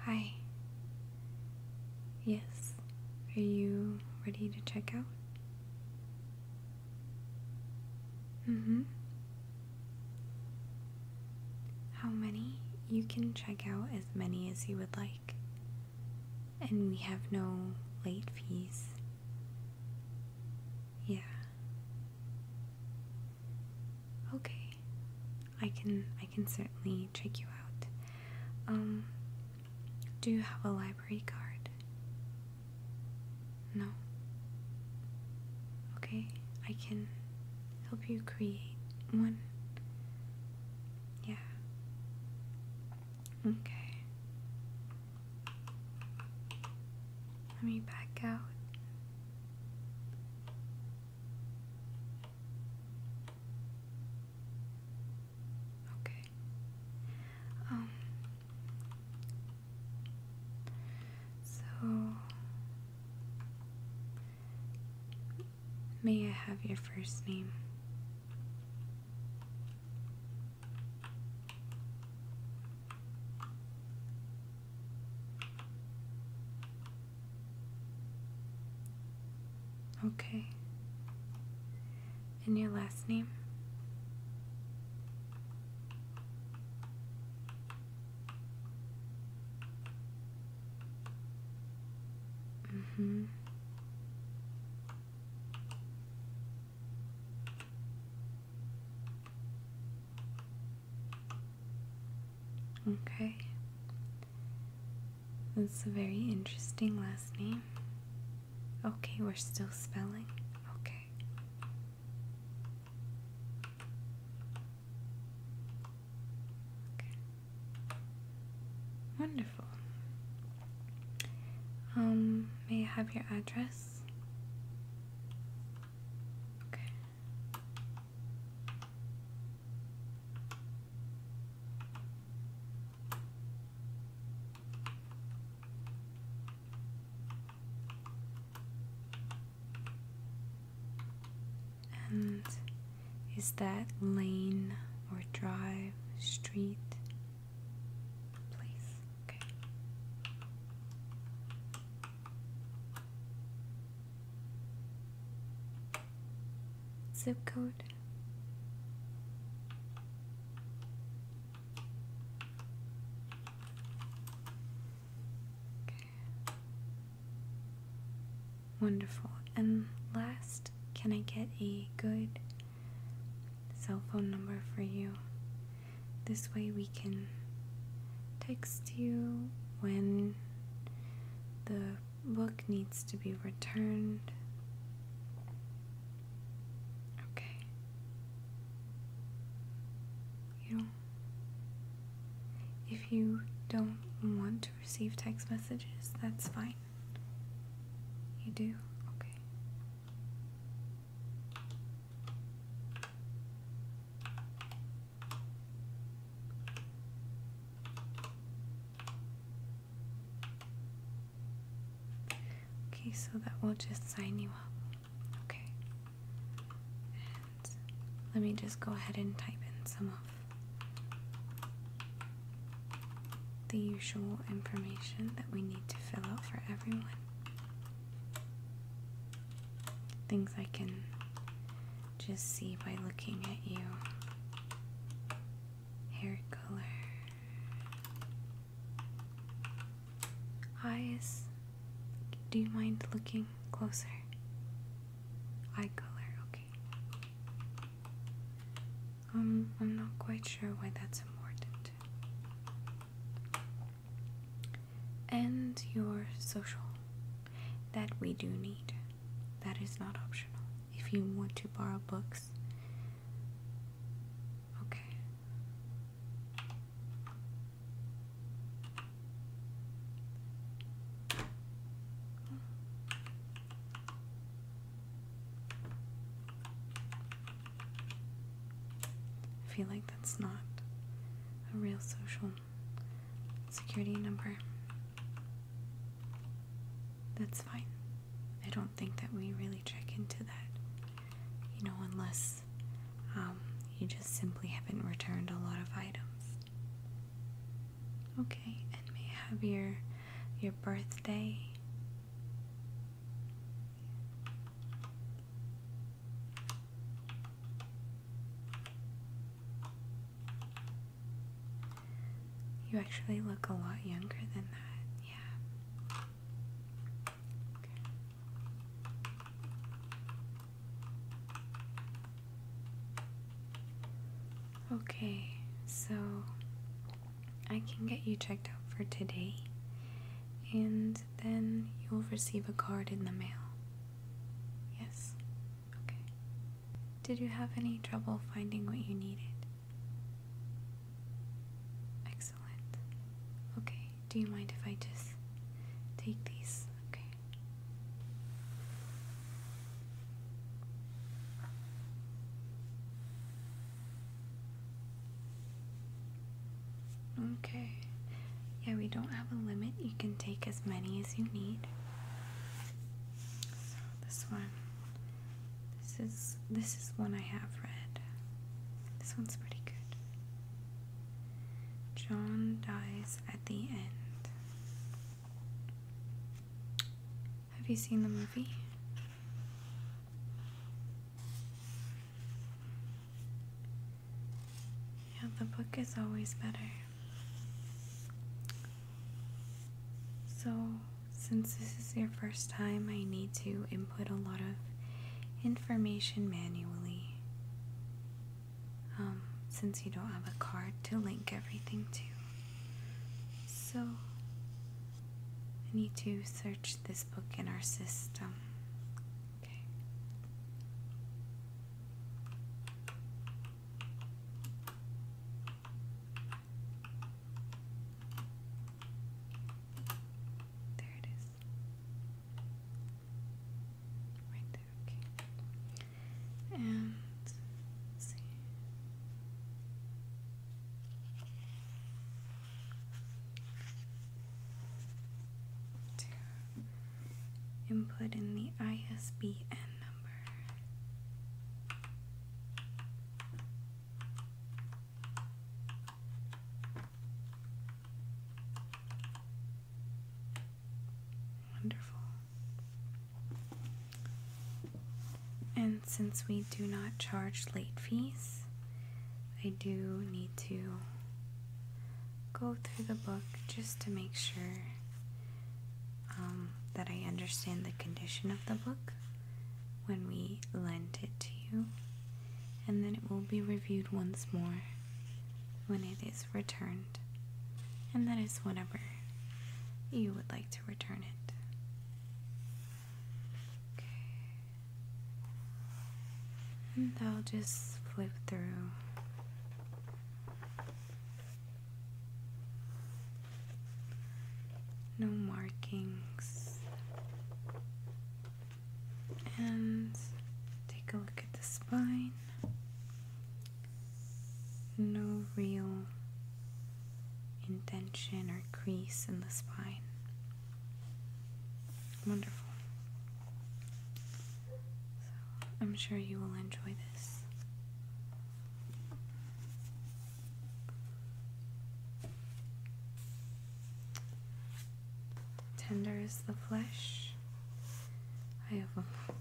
Hi. Yes. Are you ready to check out? Mm-hmm. How many? You can check out as many as you would like and we have no late fees. Yeah. Okay. I can I can certainly check you out. Um do you have a library card? No. Okay, I can help you create one. Yeah. Okay. Let me back out. Okay. Um so May I have your first name? Okay. And your last name? Mm-hmm. Okay. That's a very interesting last name. Okay, we're still spelling. Okay. Wonderful. Um, may I have your address? Okay. And is that lane or drive, street, place? Okay. Zip code. Okay. Wonderful. And last, can I get a good cell phone number for you? This way we can text you when the book needs to be returned. Okay. You if you don't want to receive text messages, that's fine. You do? Okay. Okay, so that will just sign you up. Okay. And let me just go ahead and type in some of the usual information that we need to fill out for everyone. Things I can just see by looking at you. Hair color, eyes. Do you mind looking closer? Eye color, okay. Um, I'm not quite sure why that's important. And your social. That we do need. That is not optional. If you want to borrow books, okay. I feel like that's not a real social security number. That's fine. I don't think that we really check into that, you know, unless um, you just simply haven't returned a lot of items. Okay, and may have your your birthday? You actually look a lot younger than that, yeah. Okay, so I can get you checked out for today, and then you'll receive a card in the mail. Yes? Okay. Did you have any trouble finding what you needed? Excellent. Okay, do you mind if I just take these? Okay. Okay. Yeah, we don't have a limit. You can take as many as you need. So this one. This is this is one I have read. This one's pretty good. John dies at the end. Have you seen the movie? Yeah, the book is always better. So, since this is your first time, I need to input a lot of information manually. Um, since you don't have a card to link everything to. So, I need to search this book in our system. Okay. There it is. Right and let see. To input in the ISBN number. Wonderful. And since we do not charge late fees, I do need to go through the book just to make sure um, that I understand the condition of the book when we lend it to you, and then it will be reviewed once more when it is returned, and that is whenever you would like to return it. Okay. And I'll just flip through. No markings. And take a look at the spine no real indention or crease in the spine. Wonderful. I'm sure you will enjoy this. Tender is the flesh, I have a, um,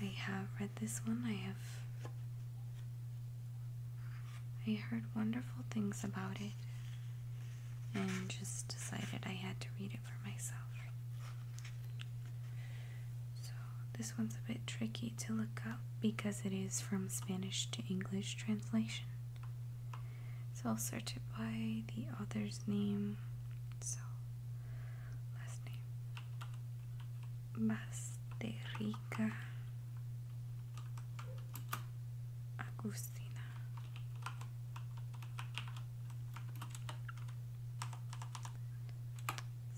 I have read this one. I have I heard wonderful things about it and just decided I had to read it for myself. So, this one's a bit tricky to look up because it is from Spanish to English translation. So, I'll search it by the author's name. So, last name Basterica Agustina.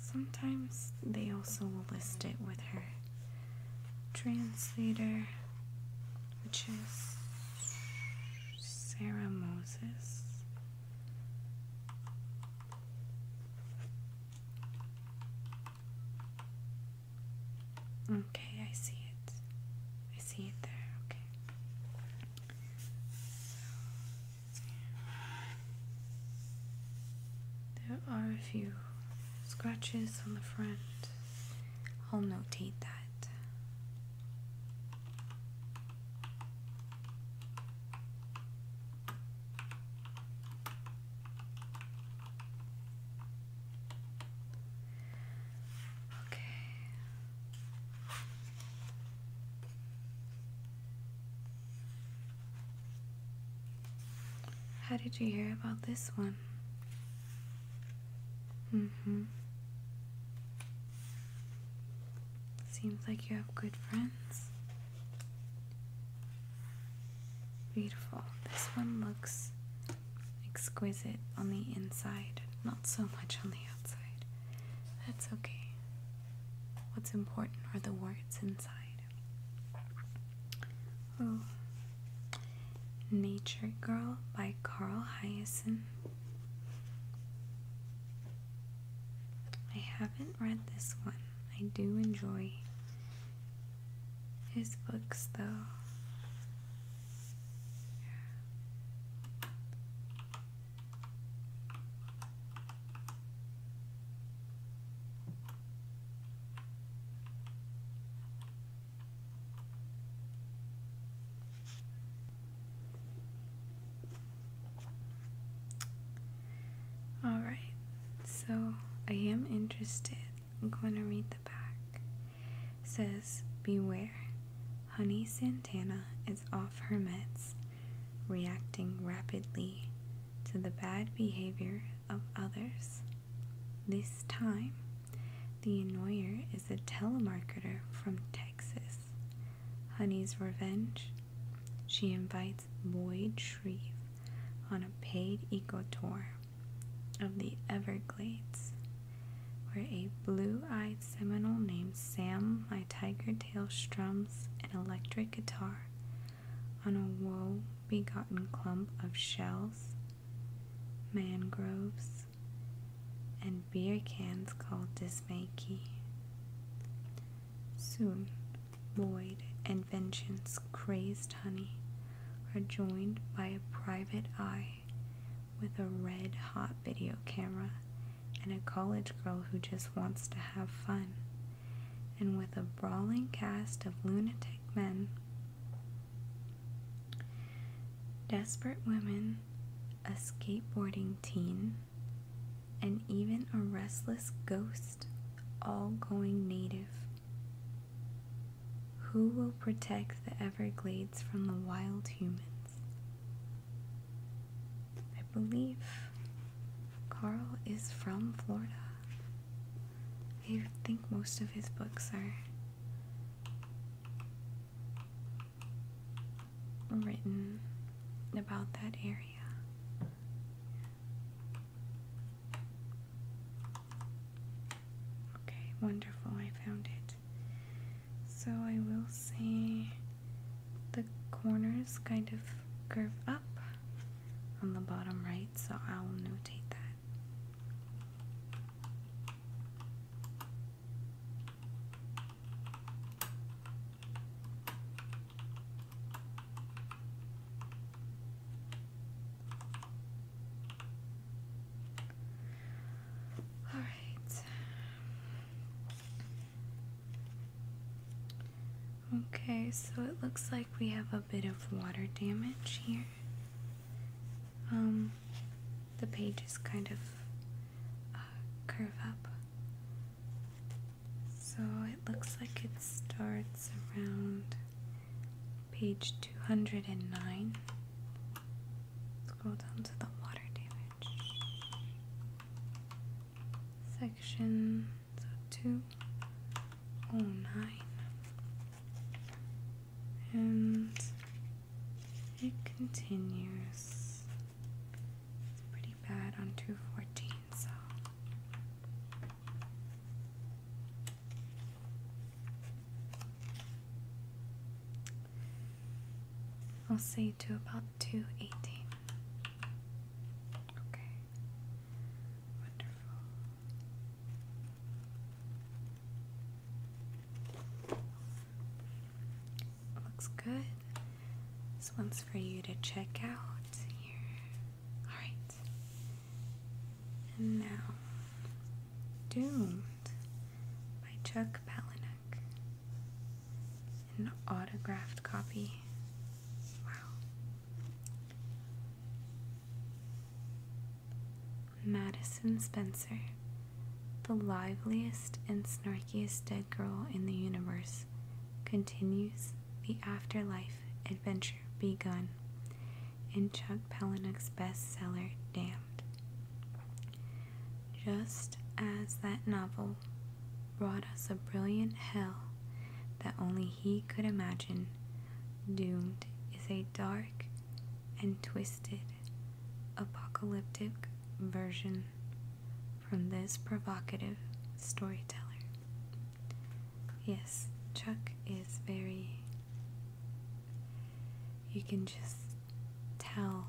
Sometimes they also will list it with her translator, which is Sarah Moses. Okay, I see it. I see it there. Okay. there are a few scratches on the front. I'll notate that. Okay. How did you hear about this one? Mm hmm. Seems like you have good friends. Beautiful. This one looks exquisite on the inside, not so much on the outside. That's okay. What's important are the words inside. Oh. Nature Girl by Carl Hyacin. I haven't read this one. I do enjoy his books though. Alright, so I am interested. I'm going to read the back. says, Beware, Honey Santana is off her meds, reacting rapidly to the bad behavior of others. This time, the annoyer is a telemarketer from Texas. Honey's Revenge. She invites Boyd Shreve on a paid eco tour of the Everglades, where a blue eyed Seminole named Sam My Tiger Tail strums an electric guitar on a woe begotten clump of shells, mangroves, and beer cans called dismakey. Soon, void and Vengeance crazed honey are joined by a private eye with a red hot video camera and a college girl who just wants to have fun. And with a brawling cast of lunatic men, desperate women a skateboarding teen, and even a restless ghost, all going native. Who will protect the Everglades from the wild humans? I believe Carl is from Florida. I think most of his books are written about that area. Okay, wonderful, I found it. So I will say the corners kind of curve up on the bottom right, so I'll notate that. All right. Okay, so it looks like we have a bit of water damage here. Um the pages kind of uh, curve up. So it looks like it starts around page 209. Scroll down to the water damage section so 209. And it continues. pretty bad on 214, so. I'll say to about 218. Okay. Wonderful. Looks good. This one's for you to check out here. Alright. And now, Doomed by Chuck Palahniuk. An autographed copy. Wow. Madison Spencer the liveliest and snarkiest dead girl in the universe, continues the afterlife adventure begun in Chuck Palahniuk's bestseller Damned. Just as that novel brought us a brilliant hell that only he could imagine, Doomed is a dark and twisted apocalyptic version from this provocative storyteller. Yes, Chuck is very. You can just tell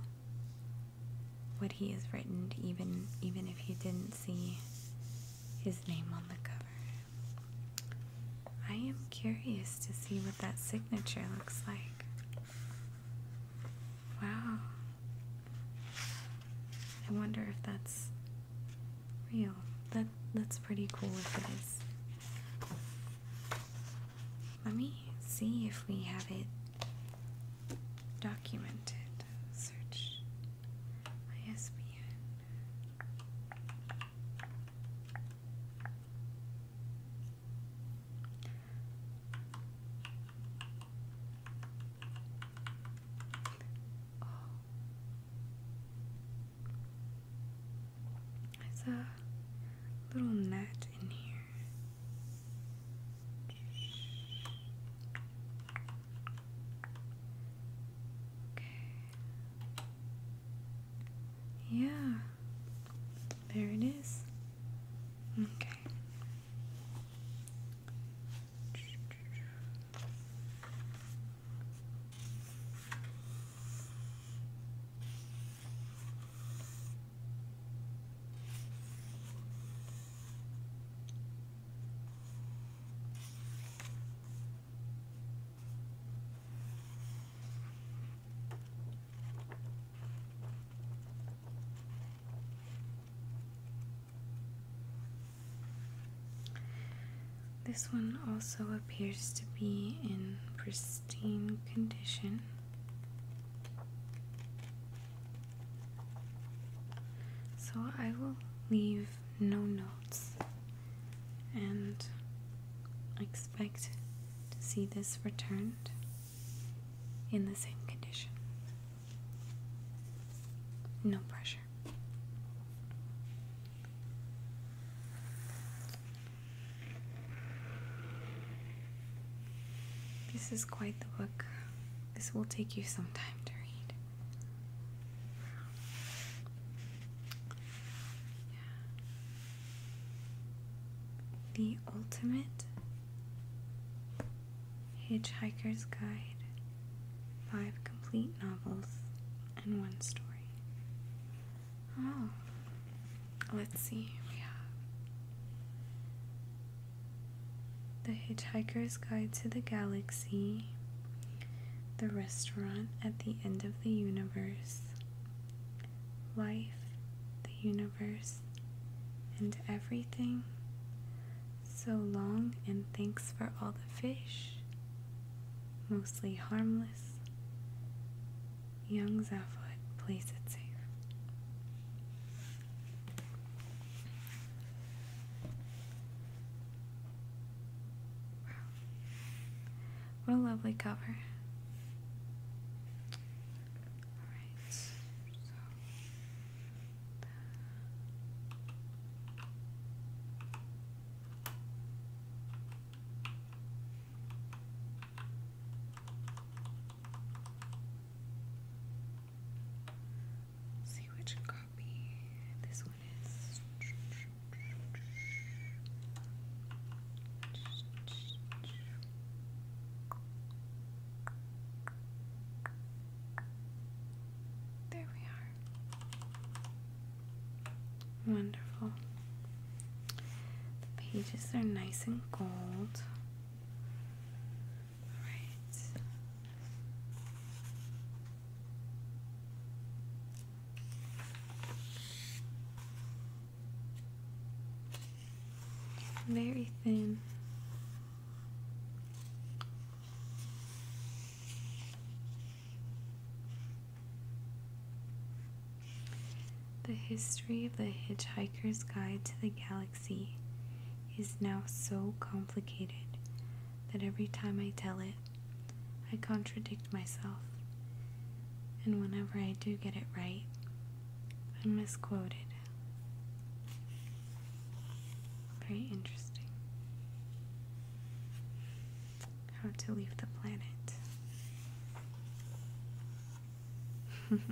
what he has written, even even if you didn't see his name on the cover. I am curious to see what that signature looks like. Wow. I wonder if that's real. That that's pretty cool if it is. Let me see if we have it documented. Search ISBN. Oh. a little net in here. Okay. Yeah. There it is. Okay. This one also appears to be in pristine condition. So I will leave no notes and expect to see this returned in the same condition. No pressure. This is quite the book. This will take you some time to read. Yeah. The Ultimate Hitchhiker's Guide Five Complete Novels and One Story. Oh, let's see. We have The Hitchhiker's Guide to the Galaxy, The Restaurant at the End of the Universe, life, the universe, and everything. So long and thanks for all the fish, mostly harmless. Young Zaphoid plays it safe. Wow. What a lovely cover. Alright, so see which copy this one is. There we are. Wonderful. The pages are nice and gold. All right very thin. The history of the Hitchhiker's Guide to the Galaxy is now so complicated that every time I tell it, I contradict myself and whenever I do get it right, I'm misquoted. Very interesting. How to leave the planet.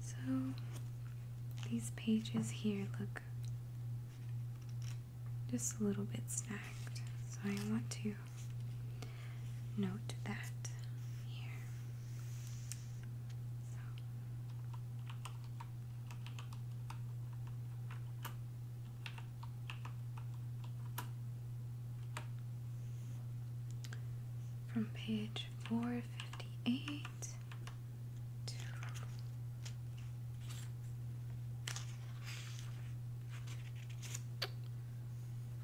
So these pages here look just a little bit snagged, so I want to note that here from page 458 to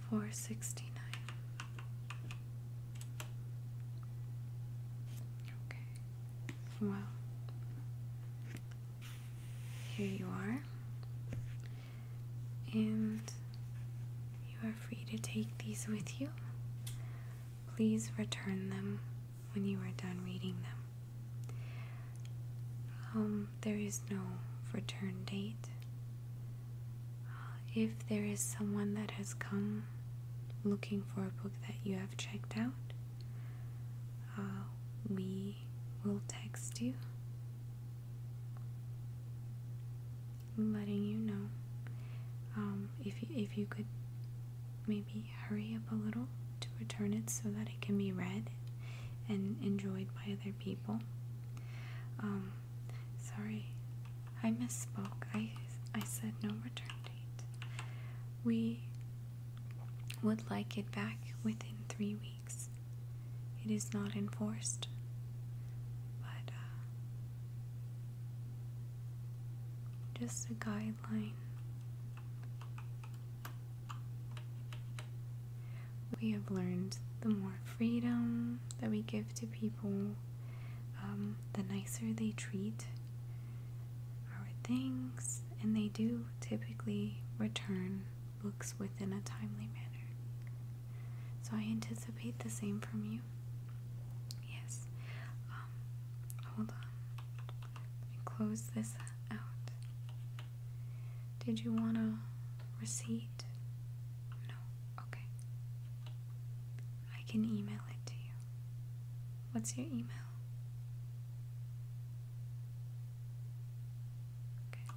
Four sixty nine. Okay. Well, here you are and you are free to take these with you. Please return them when you are done reading them. Um, there is no return date. Uh, if there is someone that has come looking for a book that you have checked out, uh, we will text you letting you know um, if you, if you could maybe hurry up a little to return it so that it can be read and enjoyed by other people. Um, sorry, I misspoke. I I said no return date. We would like it back within three weeks. It is not enforced, but uh, just a guideline. We have learned the more freedom that we give to people, um, the nicer they treat our things, and they do typically return books within a timely manner. So I anticipate the same from you. Yes. Um, hold on. close this out. Did you want a receipt? No. Okay. I can email it to you. What's your email? Okay.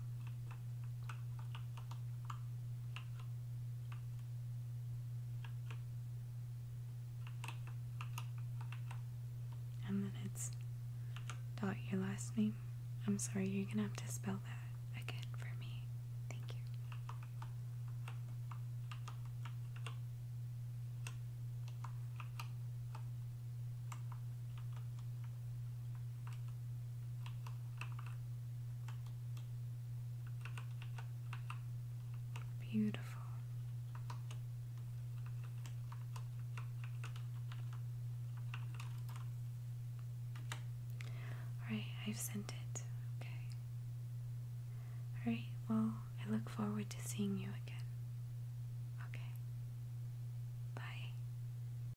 And then it's dot your last name. I'm sorry, you're gonna have to spell that again for me. Thank you. Beautiful. Alright, I've sent it. Okay. Alright, well, I look forward to seeing you again. Okay. Bye.